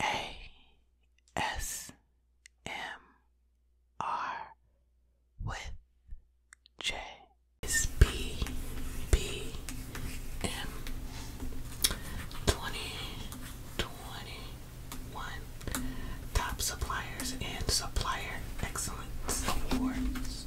A S M R with J twenty twenty one Top Suppliers and Supplier excellent Awards.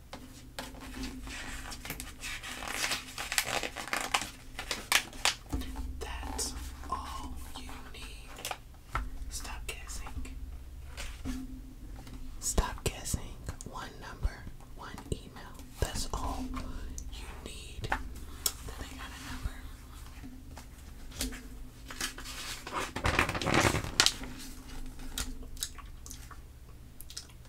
That's all you need. Stop guessing. Stop guessing. One number, one email. That's all you need. Then I got a number.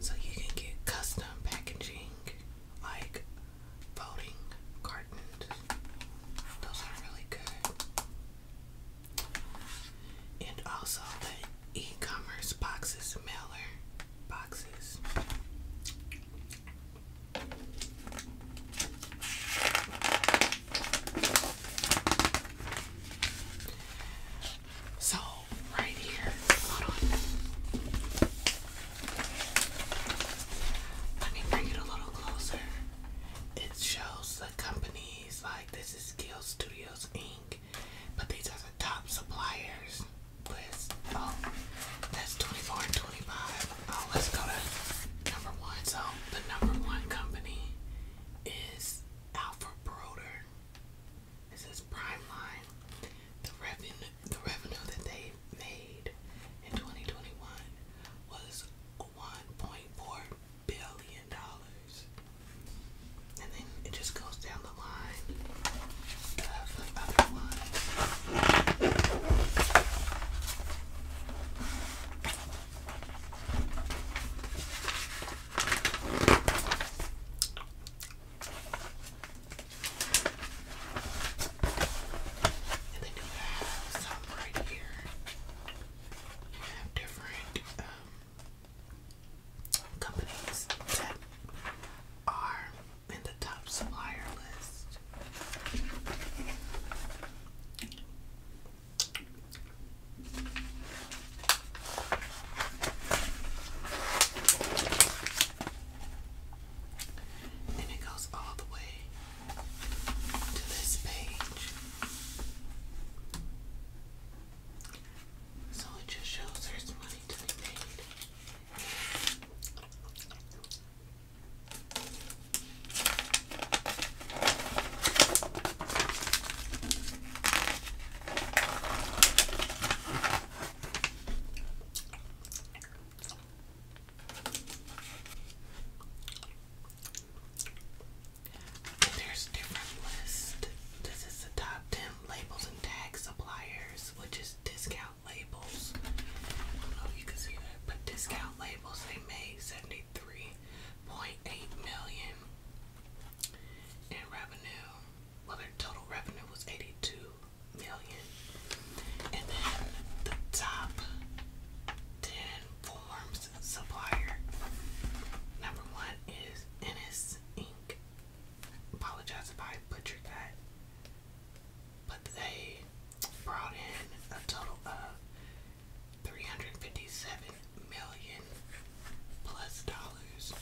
So you can get custom packaging like folding cartons. Those are really good. And also the e-commerce boxes mailer boxes. So, right here, hold on. Let me bring it a little closer. It shows the companies like this is Gill Studios Inc. But these are the top suppliers um, that's 24 and 25. Oh, let's go to number one. So, the number one company is Alpha Broder. This is Prime Line. The revenue, the revenue that they made in 2021 was 1.4 billion dollars and then it just goes down the line uh, of the other one. And then you have some right here. You have different um, companies that are in the top supplier list. And it goes all the way to this page. So it just shows there's my money to there's different lists. This is the top 10 labels and tag suppliers, which is discount labels. I oh, you can see that, but discount labels they made 73.8 million in revenue. Well, their total revenue was 82 million. And then the top 10 forms supplier. Number one is Ennis Inc apologize if I butchered that. But they brought in a total of three hundred fifty-seven million plus dollars.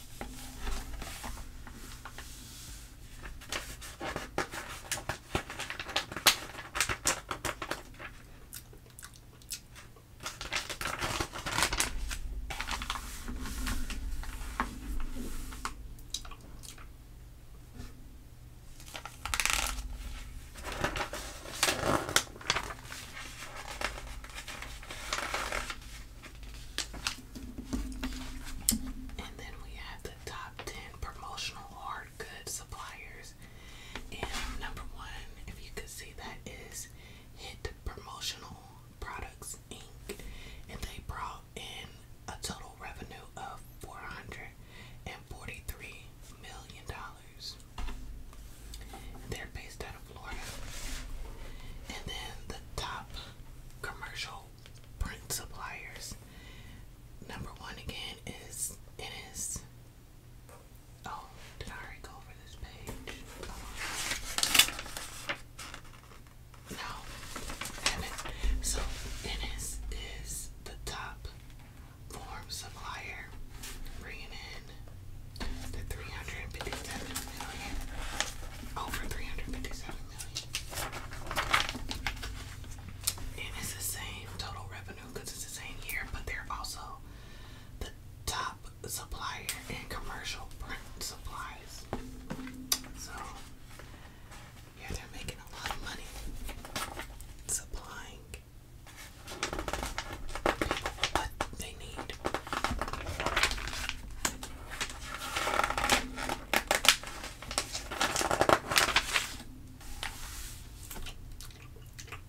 And then we have the top 10 promotional hard goods suppliers. And number one, if you could see that, is Hit Promotional Products Inc. and they brought in a total revenue of $443 million. They're based out of Florida. And then the top commercial print suppliers. Number one again is it is. Oh, did I already go over over this no, damn it. So, Ennis is the top form supplier, bringing in the 357 million, over 357 million. And it's the same total revenue because it's the same year, but they're also the top supplier in commercial print supplies. So, yeah, they're making a lot of money supplying people what they need.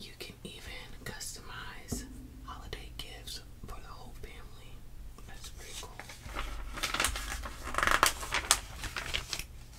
You can even customize holiday gifts for the whole family. That's pretty cool.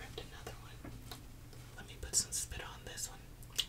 Ripped another one. Let me put some spit on this one.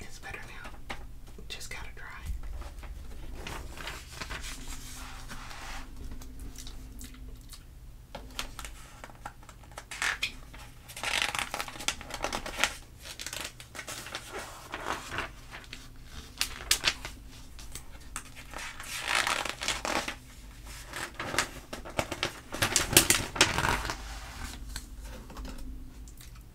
It's better now. Just gotta dry.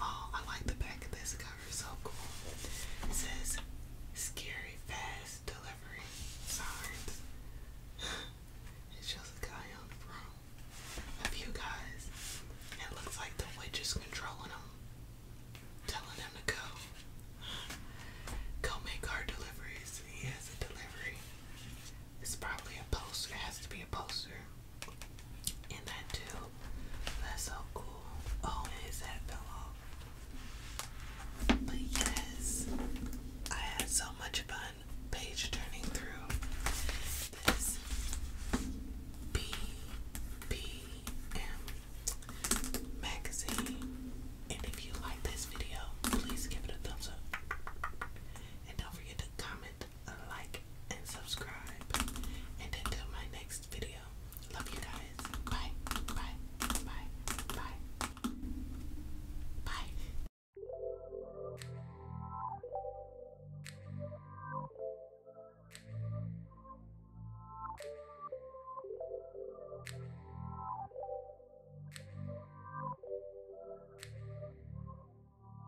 Oh, I like the back of this cover, so cool. It says scary fast delivery signs. it shows a guy on the front. A few guys. It looks like the witch is controlling them. Telling them to go. Go make our deliveries. He has a delivery. It's probably a poster. It has to be a poster in that tube. That's so cool. Oh, and his hat But yes, I had so much fun page turning through this BBM magazine. And if you like this video, please give it a thumbs up. And don't forget to comment, like and subscribe. And until my next video, love you guys. Bye, bye, bye, bye, bye.